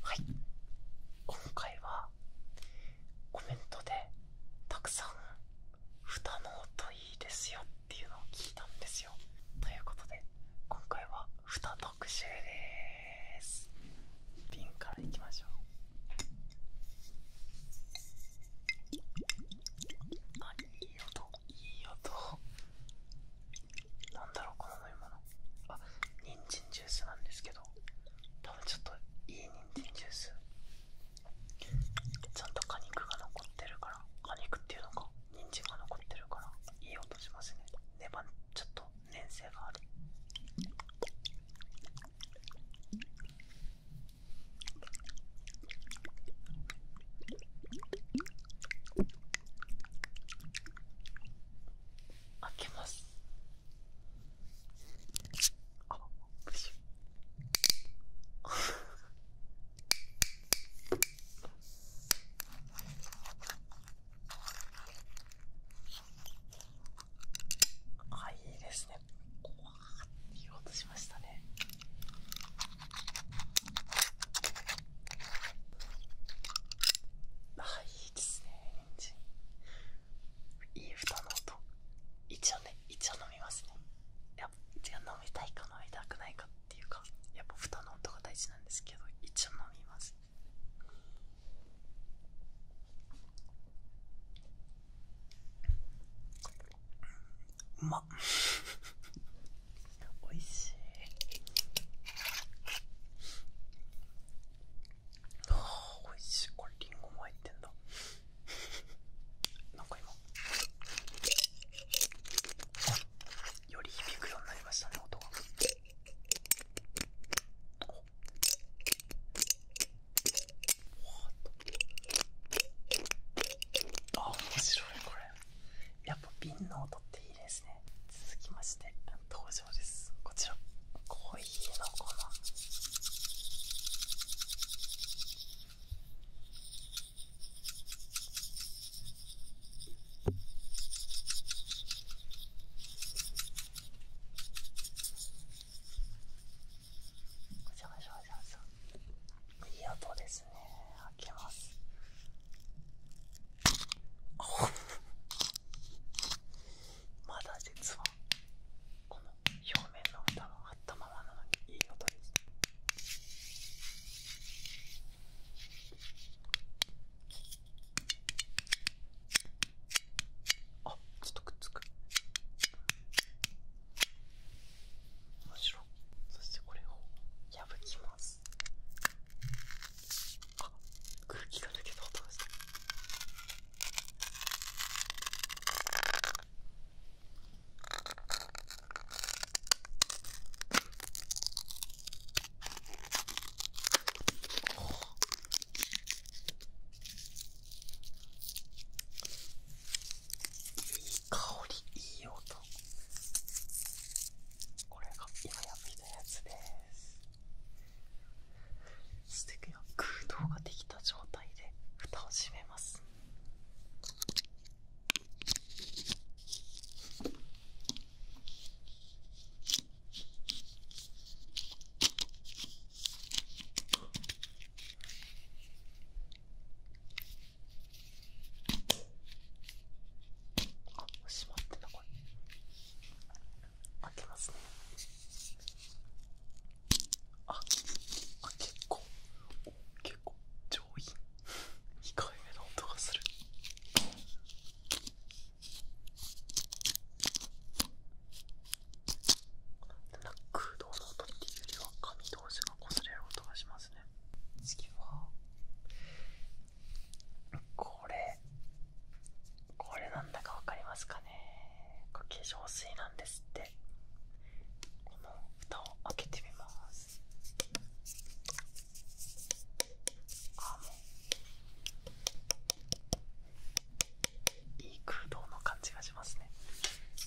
はい今回はコメントでたくさん「ふたの音いいですよ」っていうのを聞いたんですよということで今回はふた特集ですピンからいきましょうあいい音いい音なんだろうこの飲み物あニンジンジュースなんですけど多分ちょっといいニンジンジュースちゃんと果肉が残ってるから果肉っていうのかニンジンが残ってるからいい音しますねネバちょっと粘性がある開けますあプシあいいですねこわって言おうとしましたねああいいですねいい蓋の音一応ね一応飲みますねいやじゃあ飲みたいか飲みたくないかっていうかやっぱ蓋の音が大事なんですけど一応飲みますうまっおいしいああおいしいこれりんごも入ってんだ なんか今より響くようになりましたね音がおわっとあ面白いこれやっぱ瓶の音っていいですね続きまして登場ですこちら濃いヒーの粉ごちゃごちら、ごちゃいい音ですね開けますあ まだ実はこの表面の蓋があったままなのにいい音ですあちょっとくっつくむしろそしてこれを破きますあっ。空気が抜けた音がしたいい香りいい音これが今やってきたやつですステック空洞ができた状態で蓋を閉めますあ、閉まってたこれ開けますねあ、あ、結構結構上品控回目の音がするなん空洞の音っていうよりは紙同士が擦れる音がします次はこれこれなんだかわかりますかね化粧水なんですってこの蓋を開けてみますあもういい空洞の感じがしますね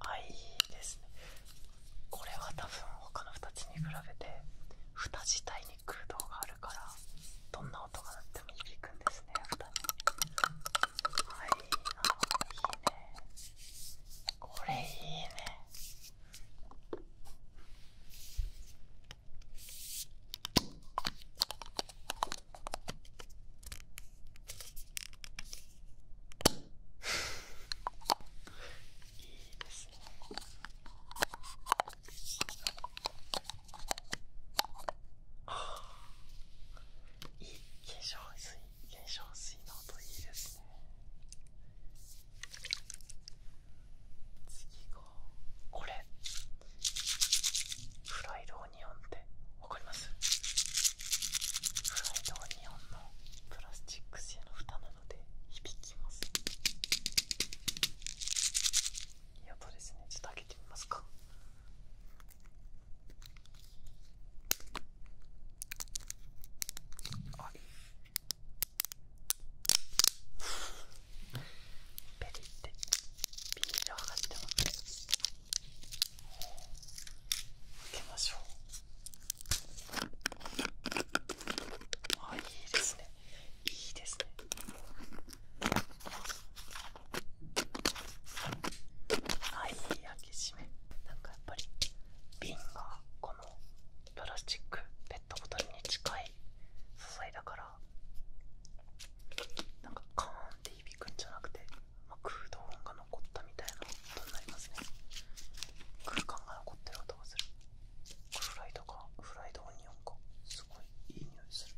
あいいですねこれは多分他の2つに比べて蓋自体に空洞があるからどんな音が鳴っても響くんですね蓋にはいあいいねこれいいねいいですねいい化粧水化粧水の音いいですね次がこれフライドニオってわりますフライドオニオンのプラスチック製の蓋なので響きますいい音ですねちょっと開けてみますかあいペリってビールをがってもけましょうあいいですねいいですねはいい開け閉めなんかやっぱり瓶がこのプラスチックペットボトルに近い素材だからなんかカーンって響くんじゃなくてまあ、空洞音が残ったみたいなことになりますね空間が残ってる音がするフライドかフライドオニオンかすごいいい匂いする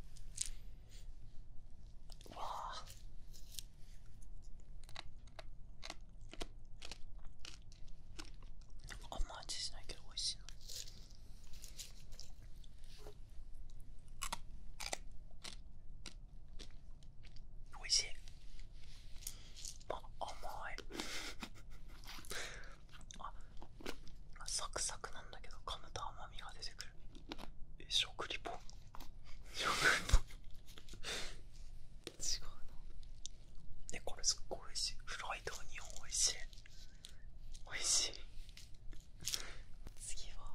わああんま味しないけど美味しいなおいしいあ甘いあサクサクなんだけど噛むと甘みが出てくるえ食リポ食リポ違うなえこれすっごいおいしいフライドオニオンおいしいおいしい次は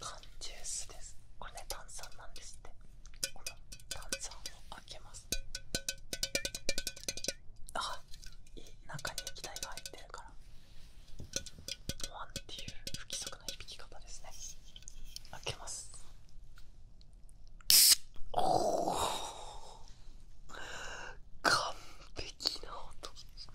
缶ジュースですこれね炭酸なんですってこの炭酸を開けますあいい中に液体が入ってるからワンっていう不規則な響き方ですね開けますおお完璧な音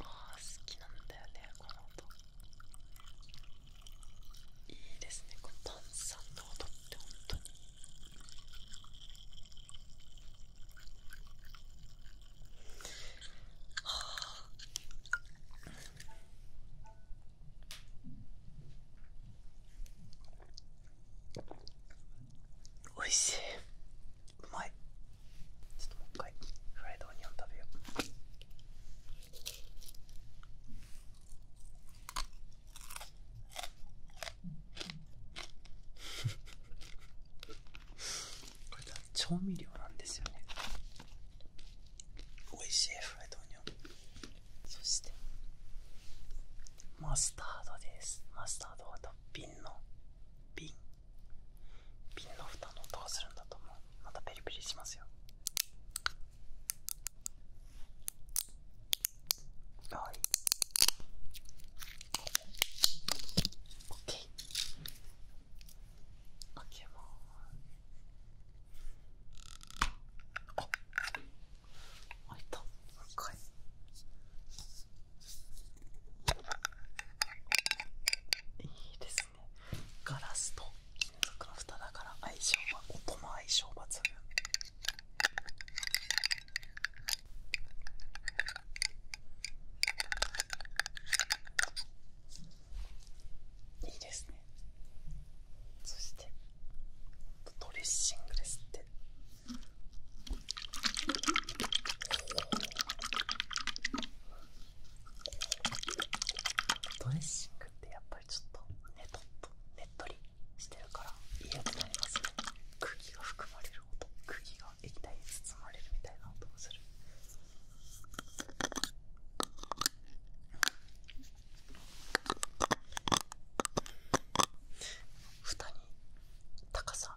ああ好きなんだよねこの音いいですねこの炭酸の音って本当にはあおいしいうまいちょっともう一回フライドオニオン食べよう これ調味料なんですよねおいしいフライドオニオンそしてマスタードですマスタードはトの瓶ピンの蓋の音がするんだと思うまたペリペリしますよはい OK 開けまーあ開いたもう一回いいですねガラスと金属の蓋だから相性は音も相性抜群いいですねそしてドレッシングですってってドレッシングってやっぱりちょっとねとっとねっとりしてるから嫌になりますね釘が含まれる音釘が液体に包まれるみたいな音もする蓋に高さ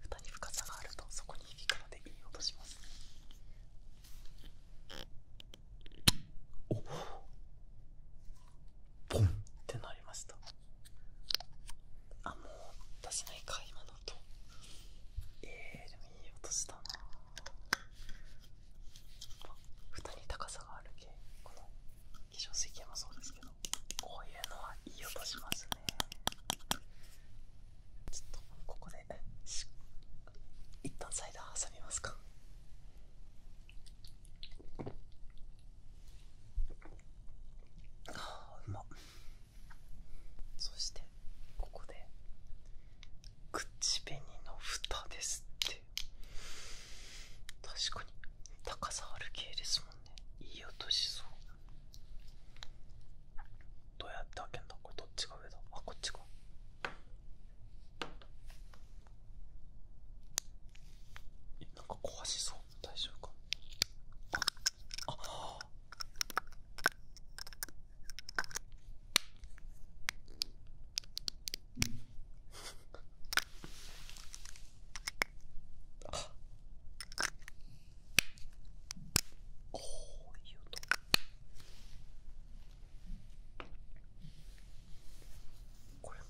蓋に深さがあるとそこに響くのでいい音しますおっポンってなりましたあもう出せないか今の音えー、でもいい音したな蓋に高さがある系この化粧水系もそうですけどこういうのはいい音しますねちょっとここで一旦サイダー挟みますかあうまそしてここで口紅の蓋ですって確かに高さある系ですもんねいい音しそうどうやって開けんだこれどっちが上だあこっちかえなんか壊しそう大丈夫かああこういうと。これも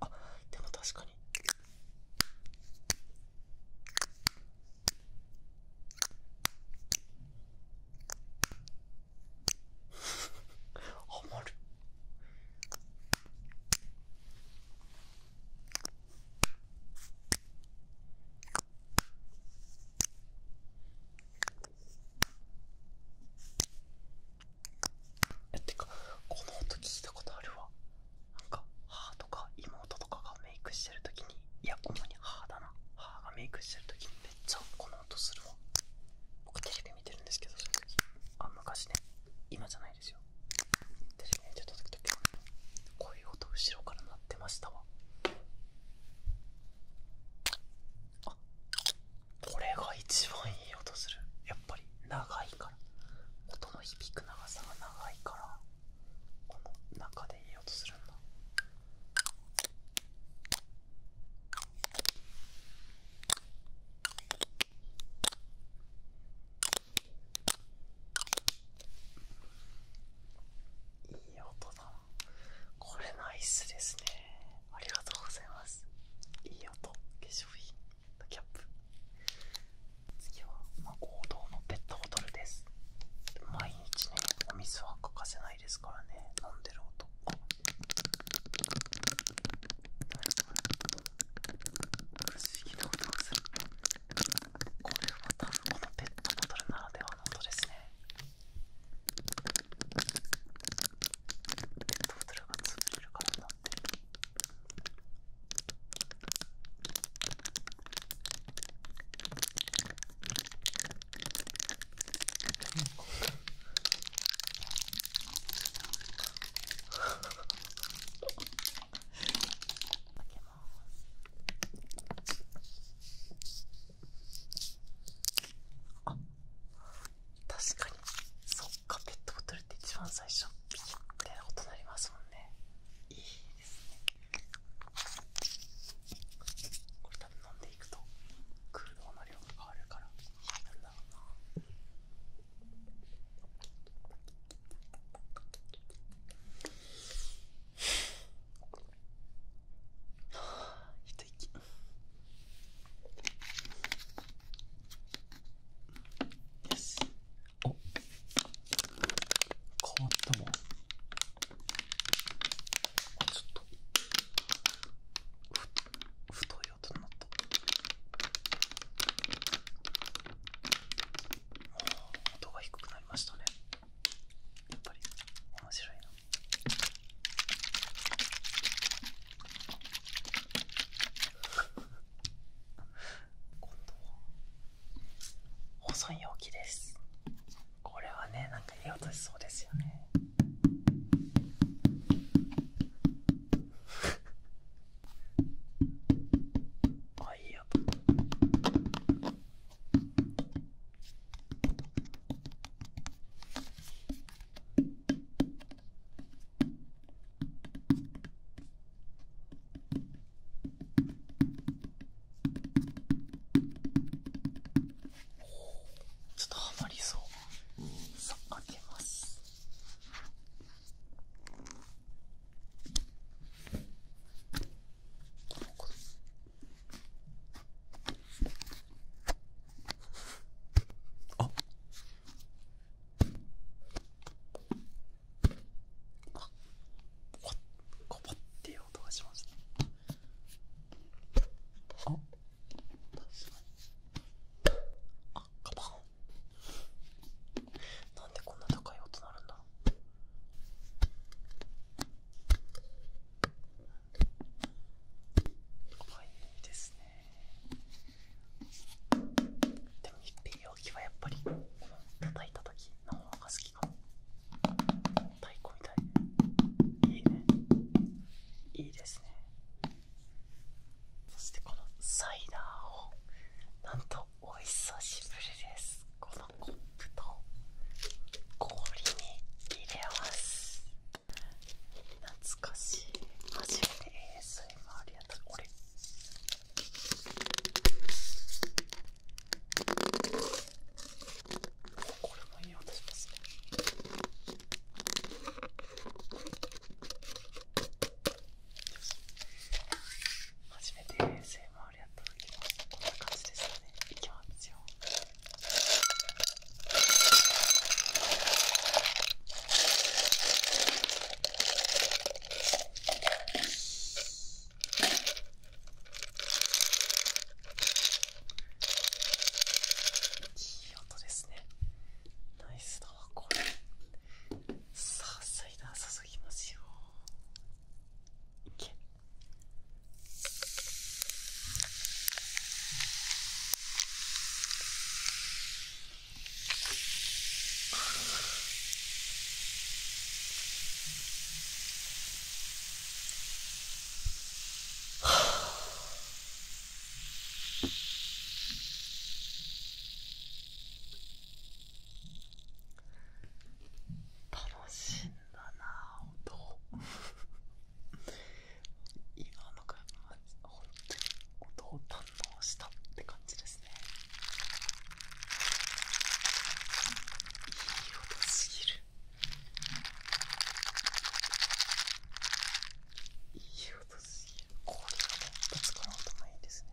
ああでも確かにハマるこの音聞いたことあるわなんか母とか妹とかがメイクしてる時にいやこ主に母だな母がメイクしてる時きにめっちゃこの音するわ僕テレあ昔ね、今じゃないですよ。でね、ちょっと時々こういう音、後ろから鳴ってましたわ。あこれが一番いい音する。やっぱり長いから。音の響く長さが長いから、この中でいい音するんだ。いい音だこれナイスですねありがとうございますいい音化粧品キャップ次は、まあ、王道のペットボトルです毎日ねお水は欠かせないですからね飲んでる音不思議な音がするこれは多分このペットボトルならではの音ですねペットボトルが潰れからなってあ確かにそっかペットボトルって一番最初ピッて音いなりますもんねいいですねこれ多分飲んでいくと空洞の量が変わるからなんだろうな一息変わったもんちょっとふ太い音が低くなりましたねやっぱり面白いな今度容器ですこれはねなんかいい音しそうですよねあいいやちょっとハマりそうさあ開けますあっあコポっていう音がしましたあっ確かに。あカバンなんでこんな高い音なるんだ可愛いいですねでもっ密閉容器はやっぱりこの叩いた時の方が好きかも太鼓みたいいいねいいですねそしてこのサイダーをなんとお久しぶりですこのコップと氷に入れます懐かしい初めて ASMR やったこれこれもいい音しますね初めて ASMR やった時もこんな感じですよねいきますよいい音ですね。ナイスだわこれさあサイダー注ぎますよいけ楽しいんだなぁ音今か、が本当に音を堪能したって感じですねいい音すぎるいい音すぎる氷がねぶつかる音もいいですね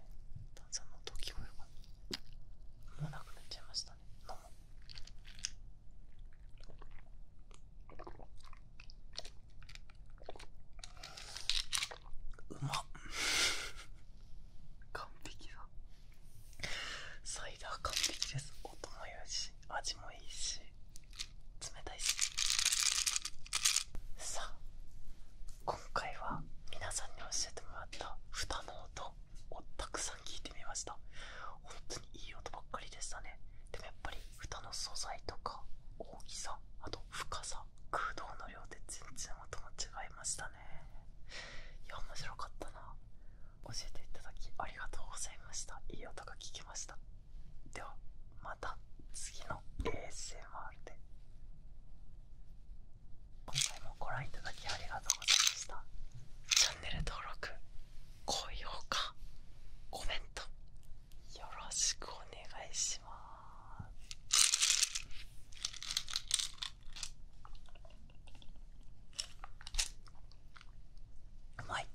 炭酸の音聞こえもうなくなっちゃいましたね飲もううまっ完璧だサイダー完璧です音もよし味もいいし冷たいしさあ今回は皆さんに教えてもらった蓋の音をたくさん聞いてみました本当にいい音ばっかりでしたねでもやっぱり蓋の素材とか大きさあと深さ空洞の量で全然音も違いましたねいや面白かったな教えていただきありがとうございましたいい音が聞きましたではまた次の ASMR で今回もご覧いただきありがとうございましたチャンネル登録高評価コメントよろしくお願いしますうまい